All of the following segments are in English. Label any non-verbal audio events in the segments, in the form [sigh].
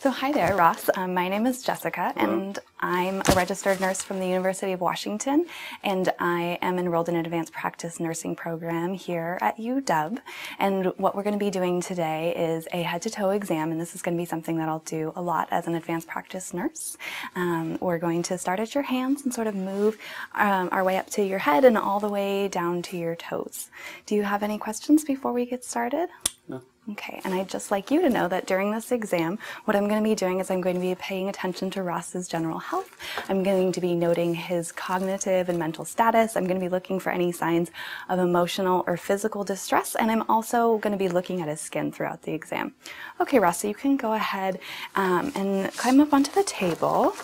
So hi there, Ross. Um, my name is Jessica, and I'm a registered nurse from the University of Washington, and I am enrolled in an advanced practice nursing program here at UW. And what we're going to be doing today is a head-to-toe exam, and this is going to be something that I'll do a lot as an advanced practice nurse. Um, we're going to start at your hands and sort of move um, our way up to your head and all the way down to your toes. Do you have any questions before we get started? No. Okay, and I'd just like you to know that during this exam, what I'm going to be doing is I'm going to be paying attention to Ross's general health. I'm going to be noting his cognitive and mental status. I'm going to be looking for any signs of emotional or physical distress, and I'm also going to be looking at his skin throughout the exam. Okay, Ross, you can go ahead um, and climb up onto the table.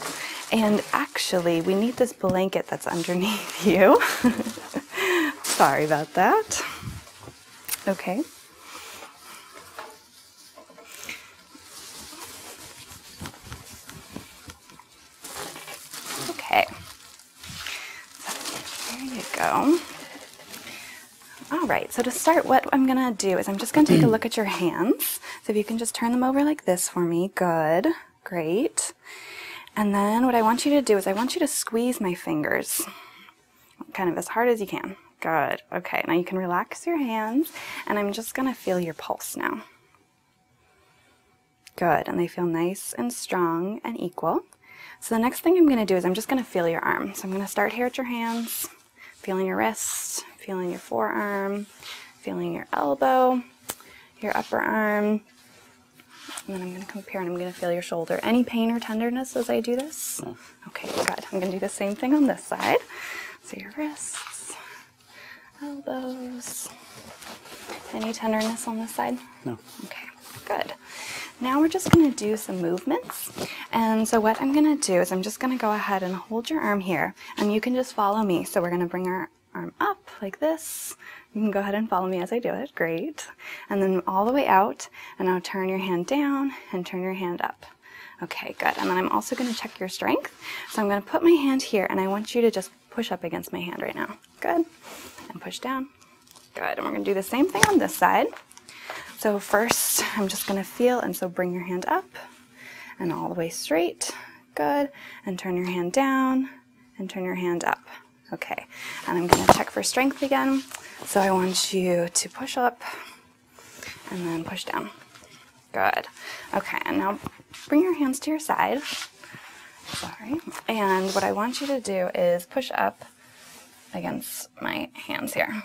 And actually, we need this blanket that's underneath [laughs] you. Sorry about that. Okay. Okay. there you go. All right, so to start, what I'm gonna do is I'm just gonna take a look at your hands. So if you can just turn them over like this for me, good, great. And then what I want you to do is I want you to squeeze my fingers kind of as hard as you can. Good, okay, now you can relax your hands and I'm just gonna feel your pulse now. Good, and they feel nice and strong and equal. So the next thing I'm gonna do is I'm just gonna feel your arm. So I'm gonna start here at your hands feeling your wrist, feeling your forearm, feeling your elbow, your upper arm. And then I'm going to compare and I'm going to feel your shoulder. Any pain or tenderness as I do this? Mm. Okay, good. I'm going to do the same thing on this side. So your wrists, elbows. Any tenderness on this side? No. Okay, good. Now we're just going to do some movements. And so what I'm going to do is I'm just going to go ahead and hold your arm here. And you can just follow me. So we're going to bring our arm up like this. You can go ahead and follow me as I do it. Great. And then all the way out. And now turn your hand down and turn your hand up. Okay, good. And then I'm also going to check your strength. So I'm going to put my hand here and I want you to just push up against my hand right now. Good. And push down. Good. And we're going to do the same thing on this side. So first, I'm just going to feel, and so bring your hand up and all the way straight. Good. And turn your hand down and turn your hand up. Okay. And I'm going to check for strength again. So I want you to push up and then push down. Good. Okay. And now bring your hands to your side. Sorry. And what I want you to do is push up against my hands here.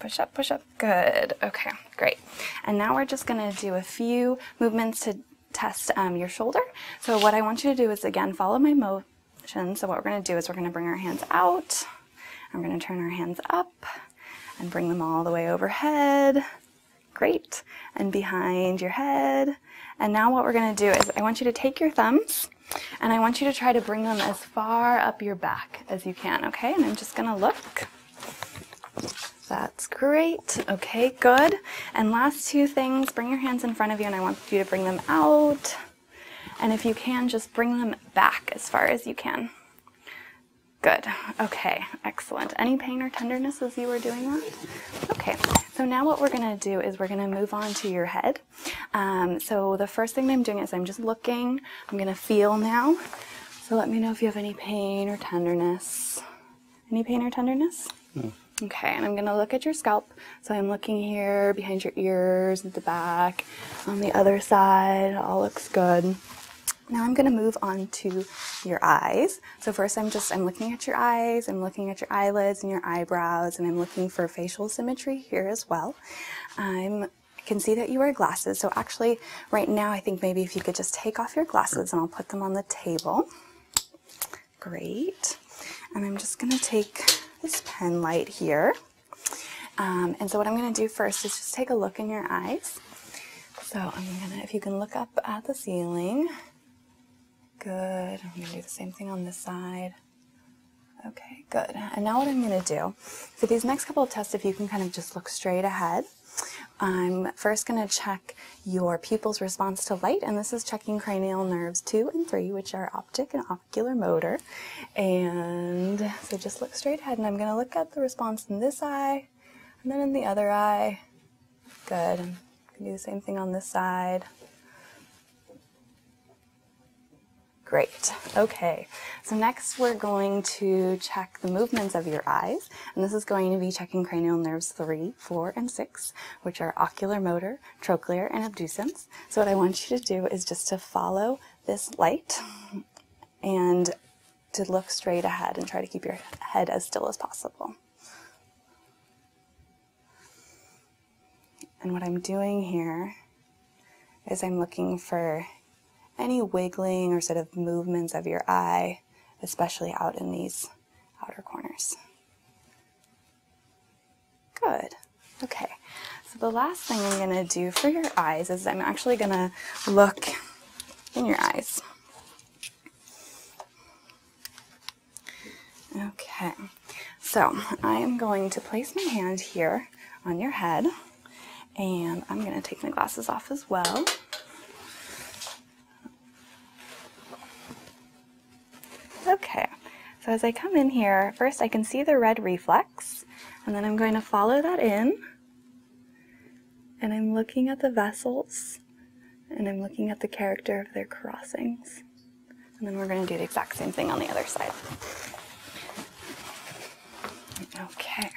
Push up, push up, good. Okay, great. And now we're just gonna do a few movements to test um, your shoulder. So what I want you to do is again, follow my motion. So what we're gonna do is we're gonna bring our hands out. I'm gonna turn our hands up and bring them all the way overhead. Great. And behind your head. And now what we're gonna do is I want you to take your thumbs and I want you to try to bring them as far up your back as you can, okay? And I'm just gonna look. That's great. Okay, good. And last two things, bring your hands in front of you and I want you to bring them out. And if you can, just bring them back as far as you can. Good. Okay, excellent. Any pain or tenderness as you are doing that? Okay, so now what we're going to do is we're going to move on to your head. Um, so the first thing I'm doing is I'm just looking. I'm going to feel now. So let me know if you have any pain or tenderness. Any pain or tenderness? No. Okay, and I'm gonna look at your scalp. So I'm looking here behind your ears, at the back, on the other side, all looks good. Now I'm gonna move on to your eyes. So first I'm just, I'm looking at your eyes, I'm looking at your eyelids and your eyebrows, and I'm looking for facial symmetry here as well. I'm I can see that you wear glasses, so actually right now, I think maybe if you could just take off your glasses and I'll put them on the table. Great. And I'm just going to take this pen light here. Um, and so, what I'm going to do first is just take a look in your eyes. So, I'm going to, if you can look up at the ceiling. Good. I'm going to do the same thing on this side. Okay, good. And now, what I'm going to do for these next couple of tests, if you can kind of just look straight ahead. I'm first going to check your pupil's response to light, and this is checking cranial nerves two and three, which are optic and ocular motor. And so just look straight ahead, and I'm going to look at the response in this eye and then in the other eye. Good. i do the same thing on this side. Great. Okay. So next we're going to check the movements of your eyes. And this is going to be checking cranial nerves 3, 4, and 6, which are ocular motor, trochlear, and abducens. So what I want you to do is just to follow this light and to look straight ahead and try to keep your head as still as possible. And what I'm doing here is I'm looking for any wiggling or sort of movements of your eye especially out in these outer corners. Good. Okay, so the last thing I'm going to do for your eyes is I'm actually going to look in your eyes. Okay, so I am going to place my hand here on your head and I'm going to take my glasses off as well. Okay, so as I come in here, first I can see the red reflex, and then I'm going to follow that in. And I'm looking at the vessels, and I'm looking at the character of their crossings. And then we're going to do the exact same thing on the other side. Okay.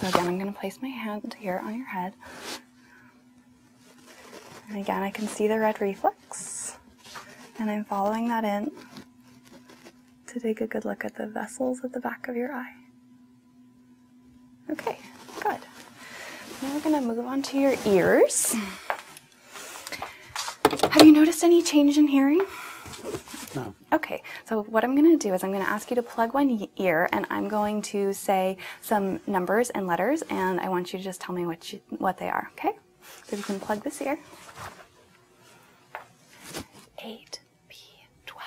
So again, I'm going to place my hand here on your head. And again, I can see the red reflex. And I'm following that in to take a good look at the vessels at the back of your eye. Okay, good. Now we're going to move on to your ears. Have you noticed any change in hearing? No. Okay, so what I'm going to do is I'm going to ask you to plug one ear and I'm going to say some numbers and letters and I want you to just tell me what, what they are, okay? So you can plug this ear. 8, B, 12.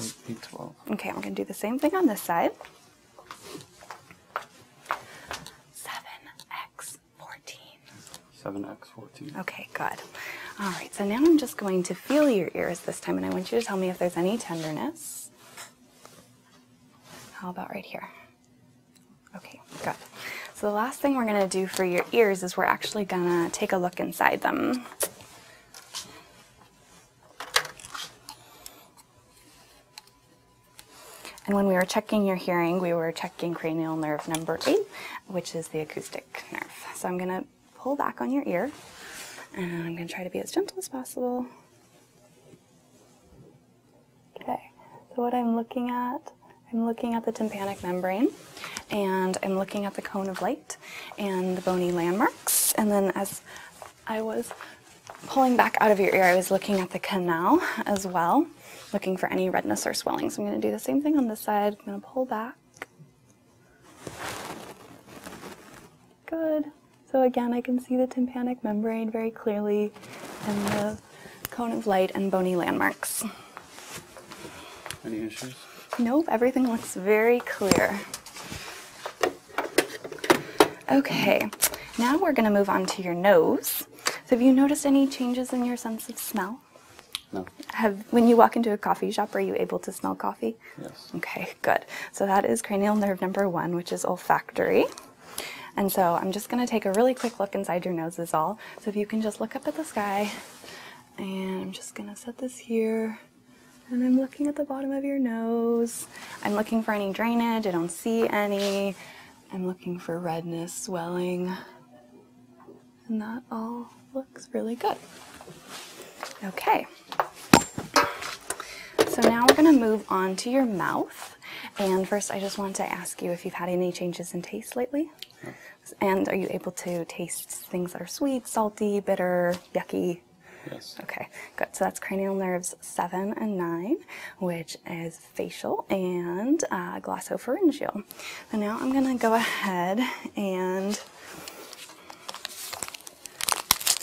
8, B, 12. Okay, I'm going to do the same thing on this side. 7, X, 14. 7, Okay, good. All right, so now I'm just going to feel your ears this time, and I want you to tell me if there's any tenderness. How about right here? Okay, good. So the last thing we're going to do for your ears is we're actually going to take a look inside them. And when we were checking your hearing, we were checking cranial nerve number eight, which is the acoustic nerve. So I'm going to pull back on your ear. And I'm going to try to be as gentle as possible. Okay, so what I'm looking at, I'm looking at the tympanic membrane and I'm looking at the cone of light and the bony landmarks. And then as I was pulling back out of your ear, I was looking at the canal as well, looking for any redness or swelling. So I'm going to do the same thing on this side. I'm going to pull back Good. So again, I can see the tympanic membrane very clearly and the cone of light and bony landmarks. Any issues? Nope, everything looks very clear. Okay, now we're going to move on to your nose. So have you noticed any changes in your sense of smell? No. Have, when you walk into a coffee shop, are you able to smell coffee? Yes. Okay, good. So that is cranial nerve number one, which is olfactory. And so I'm just going to take a really quick look inside your nose, as all. So if you can just look up at the sky, and I'm just going to set this here. And I'm looking at the bottom of your nose. I'm looking for any drainage. I don't see any. I'm looking for redness, swelling. And that all looks really good. Okay. So now we're going to move on to your mouth. And first, I just want to ask you if you've had any changes in taste lately. And are you able to taste things that are sweet, salty, bitter, yucky? Yes. Okay, good. So that's cranial nerves 7 and 9, which is facial and uh, glossopharyngeal. And now I'm going to go ahead and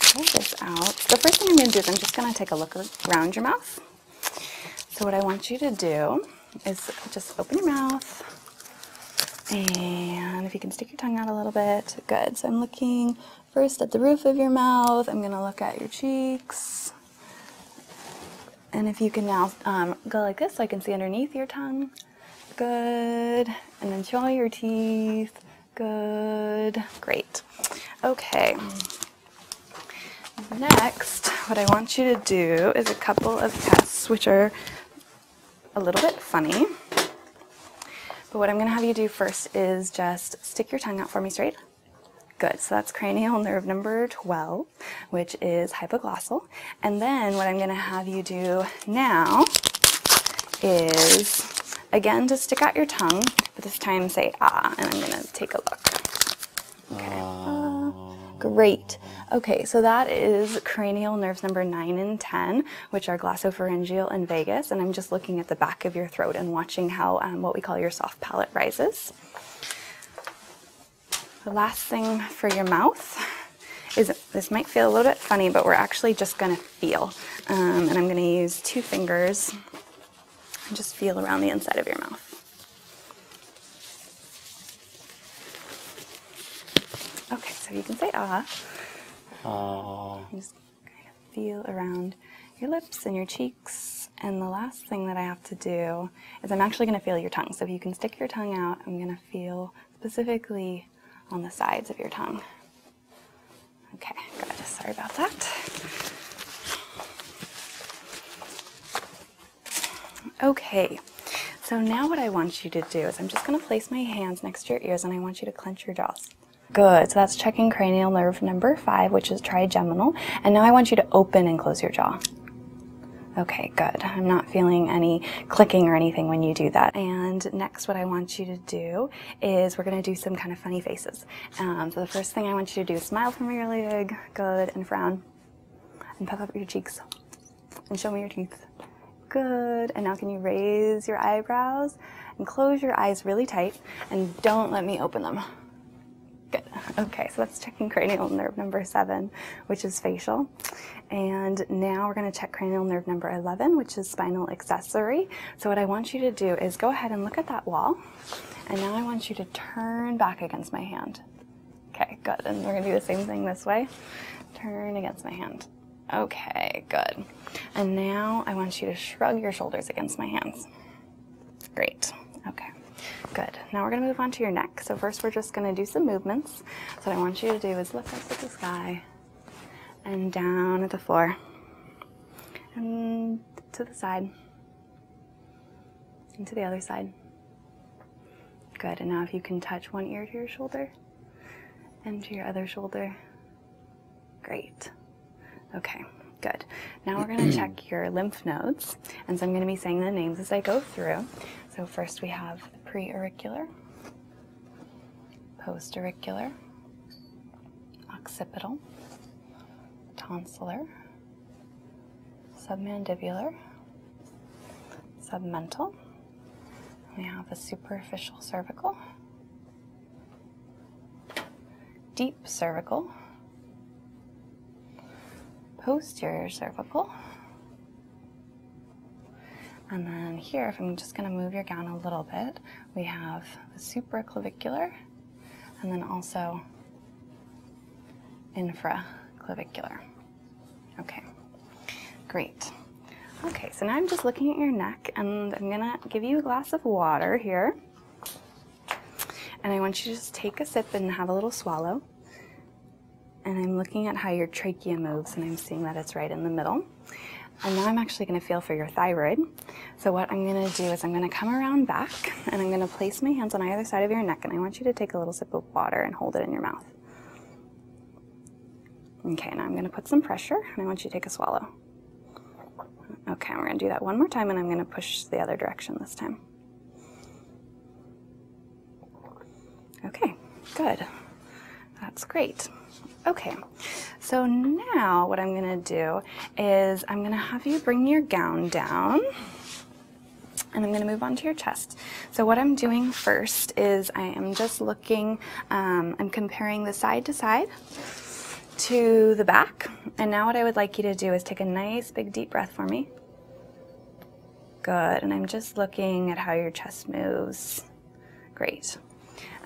Take this out. The first thing I'm going to do is I'm just going to take a look around your mouth. So what I want you to do is just open your mouth and if you can stick your tongue out a little bit, good. So I'm looking first at the roof of your mouth. I'm going to look at your cheeks. And if you can now um, go like this so I can see underneath your tongue. Good. And then jaw your teeth. Good. Great. Okay. Next, what I want you to do is a couple of tests which are a little bit funny. But what I'm going to have you do first is just stick your tongue out for me straight. Good. So that's cranial nerve number 12, which is hypoglossal. And then what I'm gonna have you do now is, again, to stick out your tongue, but this time say ah, and I'm gonna take a look. Okay. Ah. great. Okay, so that is cranial nerves number 9 and 10, which are glossopharyngeal and vagus. And I'm just looking at the back of your throat and watching how um, what we call your soft palate rises. The last thing for your mouth is, this might feel a little bit funny, but we're actually just gonna feel. Um, and I'm gonna use two fingers and just feel around the inside of your mouth. Okay, so you can say ah. Oh. Just kind of feel around your lips and your cheeks. And the last thing that I have to do is I'm actually going to feel your tongue. So if you can stick your tongue out, I'm going to feel specifically on the sides of your tongue. Okay, good. Sorry about that. Okay, so now what I want you to do is I'm just going to place my hands next to your ears and I want you to clench your jaws. Good, so that's checking cranial nerve number five, which is trigeminal. And now I want you to open and close your jaw. Okay, good. I'm not feeling any clicking or anything when you do that. And next next what I want you to do is we're going to do some kind of funny faces. Um, so the first thing I want you to do is smile for me really big, good, and frown. And puff up your cheeks. And show me your teeth. Good. And now can you raise your eyebrows and close your eyes really tight and don't let me open them. Good. Okay, so let that's checking cranial nerve number seven, which is facial. And now we're going to check cranial nerve number 11, which is spinal accessory. So what I want you to do is go ahead and look at that wall. And now I want you to turn back against my hand. Okay, good. And we're going to do the same thing this way. Turn against my hand. Okay, good. And now I want you to shrug your shoulders against my hands. Great. Okay, good. Now we're going to move on to your neck. So first we're just going to do some movements. So what I want you to do is look up at the sky, and down to the floor and to the side and to the other side. Good, and now if you can touch one ear to your shoulder and to your other shoulder, great. Okay, good. Now we're gonna check [clears throat] your lymph nodes, and so I'm gonna be saying the names as I go through. So first we have the preauricular, postericular, occipital, tonsillar, submandibular, submental. We have the superficial cervical, deep cervical, posterior cervical, and then here, if I'm just going to move your gown a little bit, we have the supraclavicular and then also infraclavicular. Okay, great. Okay, so now I'm just looking at your neck and I'm gonna give you a glass of water here. And I want you to just take a sip and have a little swallow. And I'm looking at how your trachea moves and I'm seeing that it's right in the middle. And now I'm actually going to feel for your thyroid. So what I'm going to do is I'm going to come around back and I'm going to place my hands on either side of your neck and I want you to take a little sip of water and hold it in your mouth. Okay, now I'm going to put some pressure and I want you to take a swallow. Okay, we're going to do that one more time and I'm going to push the other direction this time. Okay, good. That's great. Okay, so now what I'm gonna do is I'm gonna have you bring your gown down and I'm gonna move on to your chest. So what I'm doing first is I am just looking, um, I'm comparing the side to side to the back. And now what I would like you to do is take a nice big deep breath for me. Good, and I'm just looking at how your chest moves. Great.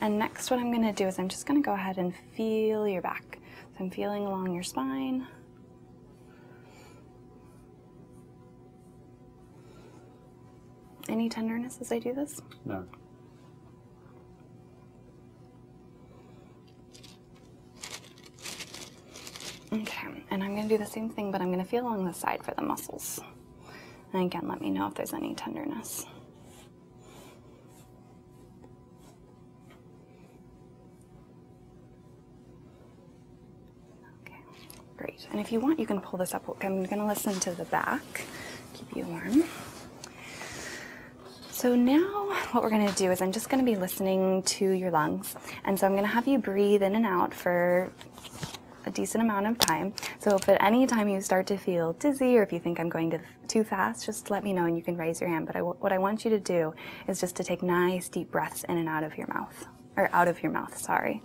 And next, what I'm going to do is I'm just going to go ahead and feel your back. So I'm feeling along your spine. Any tenderness as I do this? No. Okay, and I'm going to do the same thing, but I'm going to feel along the side for the muscles. And again, let me know if there's any tenderness. Okay, great. And if you want, you can pull this up. I'm going to listen to the back, keep you warm. So now what we're going to do is I'm just going to be listening to your lungs. And so I'm going to have you breathe in and out for a decent amount of time. So if at any time you start to feel dizzy or if you think I'm going too fast, just let me know and you can raise your hand. But what I want you to do is just to take nice deep breaths in and out of your mouth, or out of your mouth, sorry.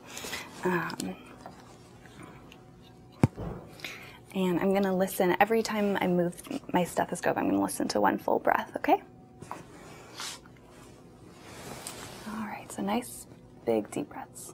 Um, and I'm going to listen every time I move my stethoscope, I'm going to listen to one full breath, okay? All right, so nice big deep breaths.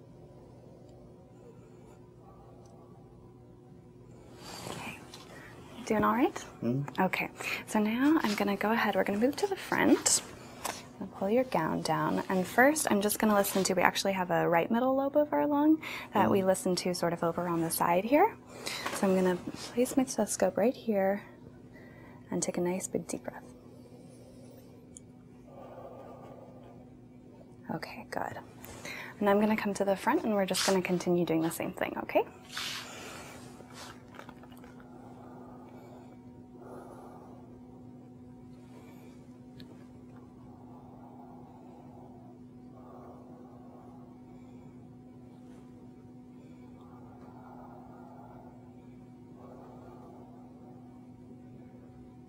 Okay. Doing all right? Mm. Okay. So now I'm going to go ahead. We're going to move to the front. Pull your gown down. And first, I'm just going to listen to, we actually have a right middle lobe of our lung that we hmm. listen to sort of over on the side here. So I'm going to place my stethoscope right here and take a nice big deep breath. Okay, good. And I'm going to come to the front and we're just going to continue doing the same thing, okay?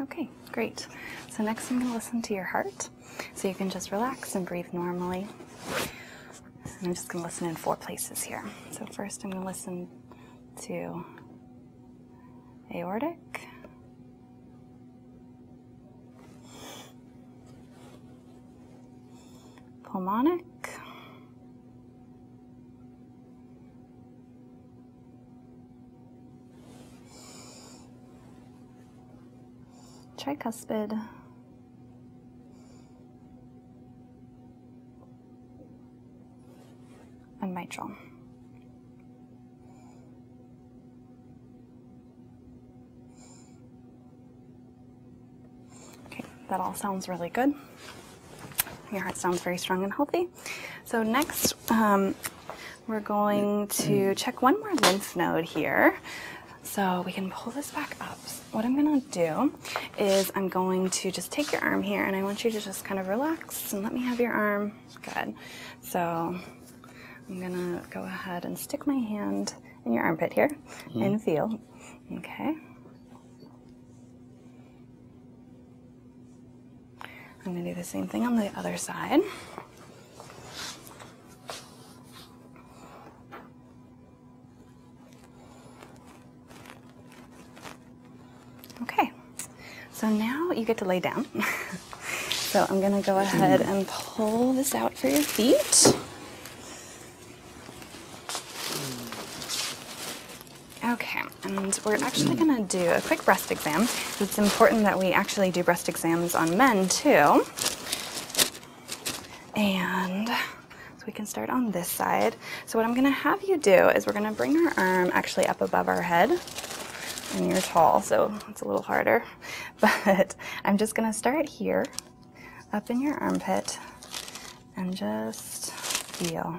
Okay, great. So next I'm going to listen to your heart. So you can just relax and breathe normally. I'm just going to listen in four places here. So first I'm going to listen to aortic. Pulmonic tricuspid. And mitral. Okay, that all sounds really good. Your heart sounds very strong and healthy so next um, we're going to check one more lymph node here. So we can pull this back up. what I'm gonna do is I'm going to just take your arm here and I want you to just kind of relax and let me have your arm. Good. So I'm gonna go ahead and stick my hand in your armpit here mm-hmm. and feel. Okay. I'm going to do the same thing on the other side. Okay, so now you get to lay down. [laughs] so I'm going to go ahead and pull this out for your feet. Okay, and we're actually going to do a quick breast exam. It's important that we actually do breast exams on men too. And so we can start on this side. So what I'm gonna have you do is we're gonna bring our arm actually up above our head and you're tall, so it's a little harder. [laughs] But I'm just gonna start here, up in your armpit, and just feel.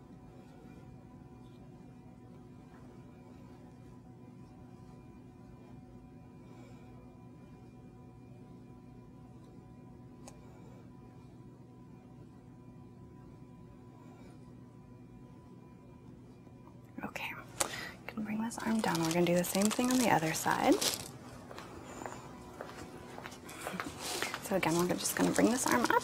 Okay, I'm bring this arm down. We're gonna do the same thing on the other side. So again, we're just gonna bring this arm up.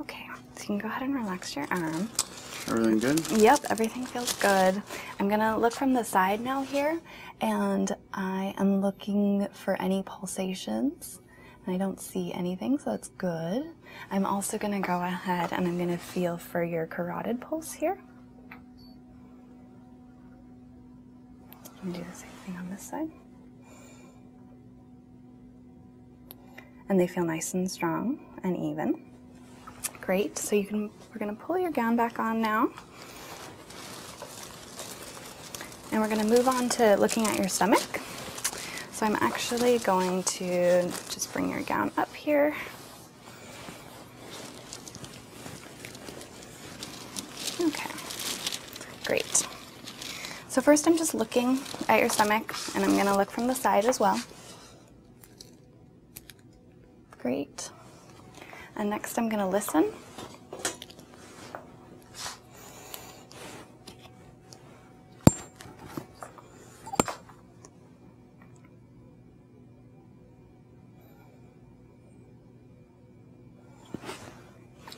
Okay, so you can go ahead and relax your arm. Everything good? Yep, everything feels good. I'm gonna look from the side now here, and I am looking for any pulsations. I don't see anything, so that's good. I'm also gonna go ahead and I'm gonna feel for your carotid pulse here. And do the same thing on this side and they feel nice and strong and even. Great. So you can we're going to pull your gown back on now. And we're going to move on to looking at your stomach. So I'm actually going to just bring your gown up here. Okay, great. So first I'm just looking at your stomach and I'm gonna look from the side as well. Great. And next I'm gonna listen.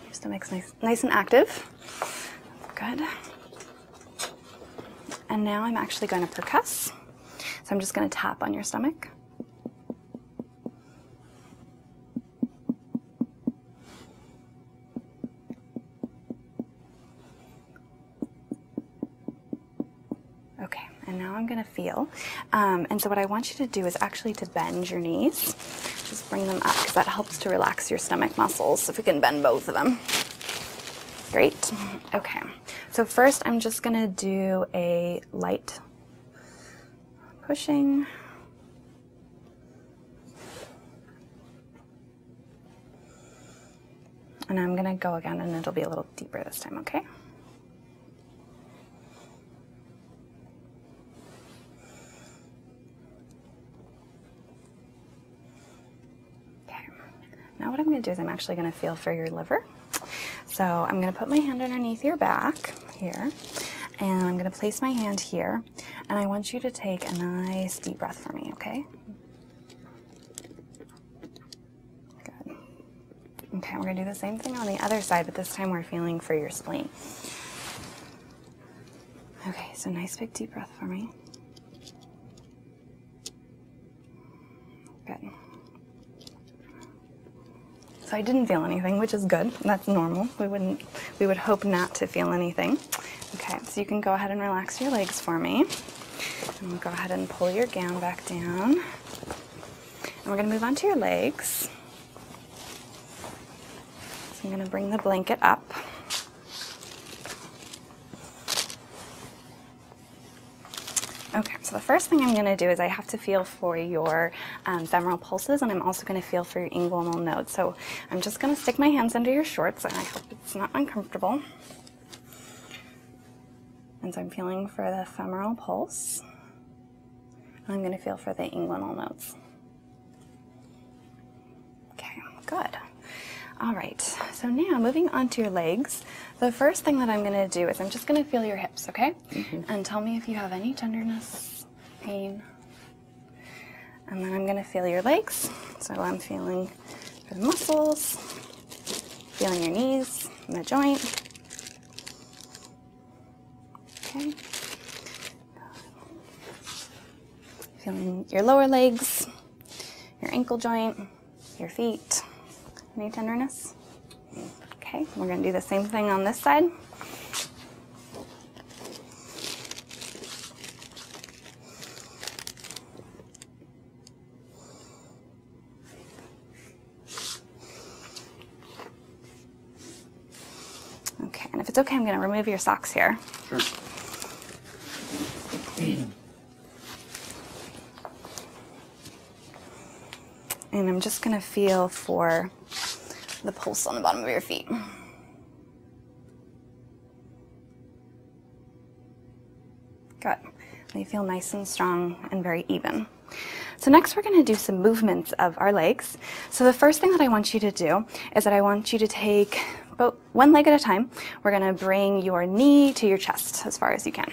Your stomach's nice, nice and active. Good. And now I'm actually going to percuss. So I'm just going to tap on your stomach. Okay, and now I'm gonna feel. Um, and so what I want you to do is actually to bend your knees. Just bring them up because that helps to relax your stomach muscles if we can bend both of them. Great. Okay. So first I'm just going to do a light pushing. And I'm going to go again and it'll be a little deeper this time, okay? There. Now what I'm going to do is I'm actually going to feel for your liver. So I'm going to put my hand underneath your back here, and I'm going to place my hand here, and I want you to take a nice deep breath for me, okay? Good. Okay, we're going to do the same thing on the other side, but this time we're feeling for your spleen. Okay, so nice big deep breath for me. Okay, So I didn't feel anything, which is good. That's normal. We wouldn't we would hope not to feel anything. Okay, so you can go ahead and relax your legs for me. And we'll go ahead and pull your gown back down. And we're gonna move on to your legs. I'm going to bring the blanket up. Okay, so the first thing I'm going to do is I have to feel for your um, femoral pulses and I'm also going to feel for your inguinal nodes. So I'm just going to stick my hands under your shorts and I hope it's not uncomfortable. And so I'm feeling for the femoral pulse. I'm going to feel for the inguinal nodes. Okay, good. All right, so now moving on to your legs. The first thing that I'm gonna do is I'm just gonna feel your hips, okay? Mm-hmm. And tell me if you have any tenderness, pain. And then I'm gonna feel your legs. So I'm feeling the muscles, feeling your knees and the joint. Okay. Feeling your lower legs, your ankle joint, your feet. Any tenderness? Okay, we're going to do the same thing on this side. Okay, and if it's okay, I'm going to remove your socks here. Sure. and I'm just going to feel for the pulse on the bottom of your feet. Good. They feel nice and strong and very even. So next we're going to do some movements of our legs. So the first thing that I want you to do is that I want you to take about one leg at a time. We're gonna bring your knee to your chest as far as you can.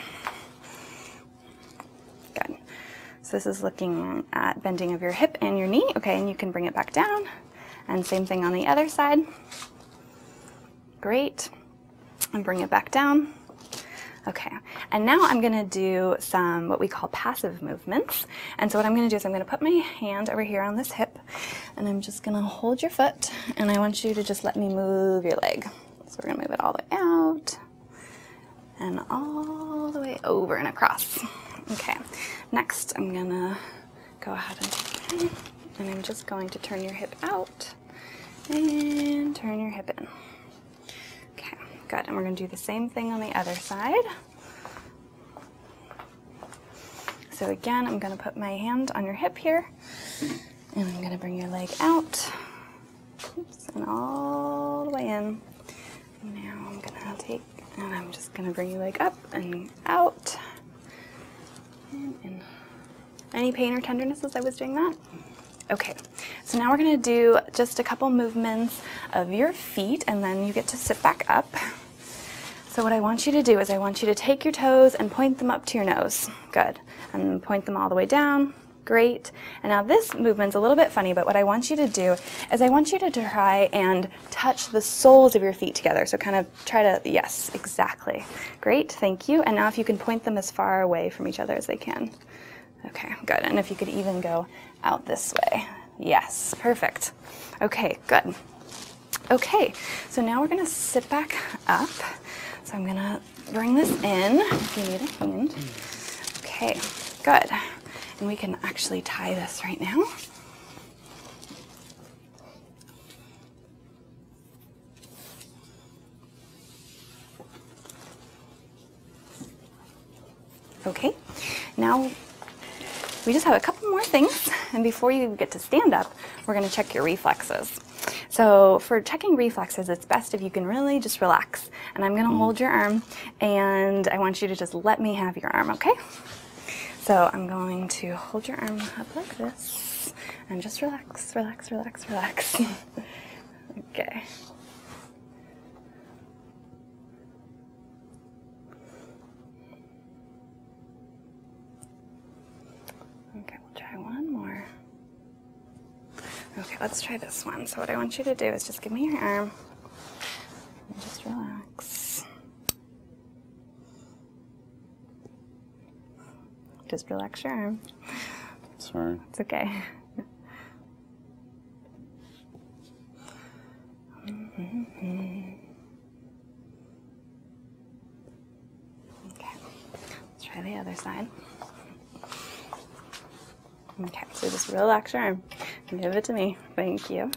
Good. So this is looking at bending of your hip and your knee. Okay, and you can bring it back down. And same thing on the other side. Great. And bring it back down. Okay, and now I'm gonna do some what we call passive movements. And so what I'm going to do is I'm going to put my hand over here on this hip and I'm just going to hold your foot and I want you to just let me move your leg. So we're going to move it all the way out and all the way over and across. Okay, next I'm going to go ahead and, and I'm just going to turn your hip out and turn your hip in. Okay, good. And we're going to do the same thing on the other side. So again, I'm going to put my hand on your hip here, and I'm going to bring your leg out, and all the way in. Now I'm going to take, and I'm just going to bring your leg up and out. any pain or tenderness as I was doing that? Okay, so now we're going to do just a couple movements of your feet and then you get to sit back up. So what I want you to do is I want you to take your toes and point them up to your nose. Good. And point them all the way down. Great. And now this movement's a little bit funny, but what I want you to do is I want you to try and touch the soles of your feet together. So kind of try to, yes, exactly. Great, thank you. And now if you can point them as far away from each other as they can. Okay, good. And if you could even go out this way. Yes, perfect. Okay, good. Okay, so now we're gonna sit back up. So I'm gonna bring this in Okay, good. And we can actually tie this right now. Okay, now we just have a couple more things, and before you get to stand up, we're going to check your reflexes. So for checking reflexes, it's best if you can really just relax. And I'm going to hmm. hold your arm, and I want you to just let me have your arm, okay? So I'm going to hold your arm up like this, and just relax, relax, relax, relax. [laughs] okay. Okay, we'll try one more. Okay, let's try this one. So what I want you to do is just give me your arm and just relax. Just relax your arm. Sorry. It's okay. Okay, let's try the other side. Okay, so just relax your arm. Give it to me. Thank you.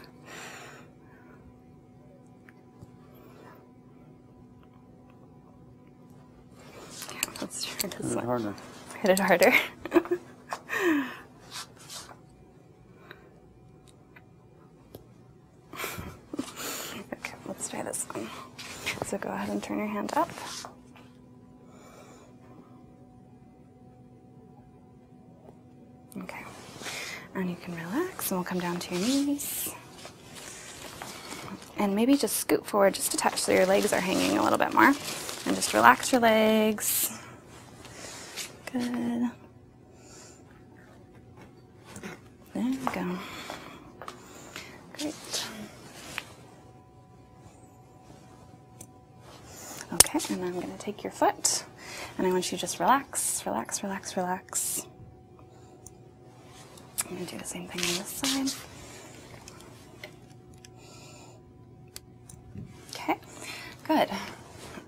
let's try this Hit It harder. Hit it harder. [laughs] okay, let's try this one. So go ahead and turn your hand up. Okay, and you can relax, and we'll come down to your knees. And maybe just scoot forward just a touch so your legs are hanging a little bit more. And just relax your legs. Good. There we go. Great. Okay, and I'm going to take your foot and I want you to just relax, relax, relax, relax. I'm going to do the same thing on this side. Okay, good.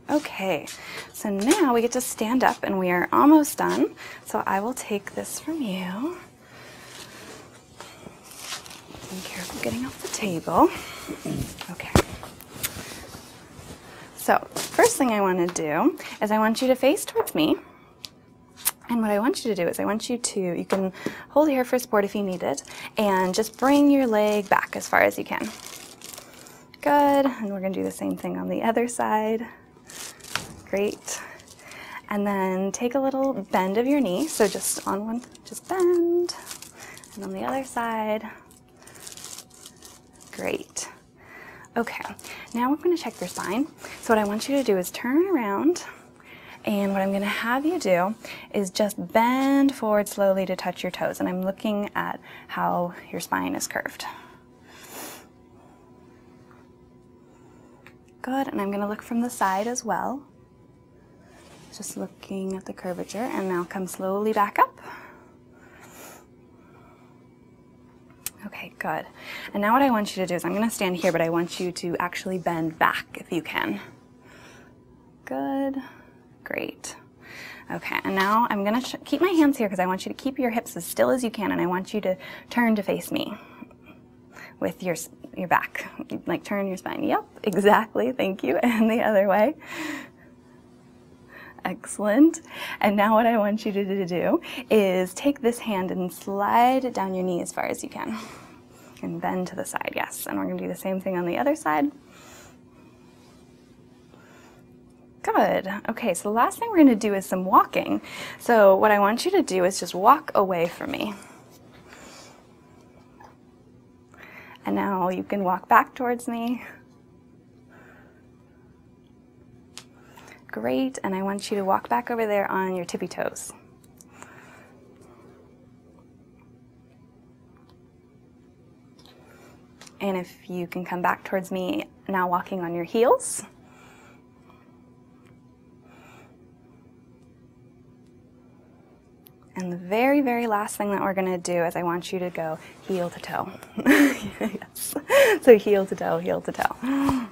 Okay, so now we get to stand up and we are almost done. So I will take this from you. Being careful getting off the table. Okay. So, first thing I want to do is I want you to face towards me. And what I want you to do is I want you to, you can hold here for support if you need it, and just bring your leg back as far as you can. Good, and we're gonna do the same thing on the other side. Great. And then take a little bend of your knee. So just on one, just bend. And on the other side. Great. Okay, now we're gonna check your spine. So what I want you to do is turn around and what I'm gonna have you do is just bend forward slowly to touch your toes. And I'm looking at how your spine is curved. Good, and I'm gonna look from the side as well. Just looking at the curvature, and now come slowly back up. Okay, good. And now what I want you to do is I'm gonna stand here, but I want you to actually bend back if you can. Good. Great. Okay, and now I'm going to keep my hands here because I want you to keep your hips as still as you can, and I want you to turn to face me with your, your back. Like turn your spine. Yep, exactly. Thank you. [laughs] And the other way. Excellent. And now what I want you to do is take this hand and slide it down your knee as far as you can. And bend to the side, yes. And we're going to do the same thing on the other side. Good. Okay, so the last thing we're going to do is some walking. So what I want you to do is just walk away from me. And now you can walk back towards me. Great, and I want you to walk back over there on your tippy toes. And if you can come back towards me, now walking on your heels. And the very, very last thing that we're gonna do is I want you to go heel to toe. [laughs] So heel to toe, heel to toe.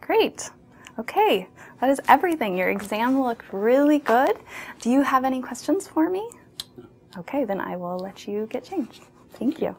Great. Okay, that is everything. Your exam looked really good. Do you have any questions for me? Okay, then I will let you get changed. Thank you.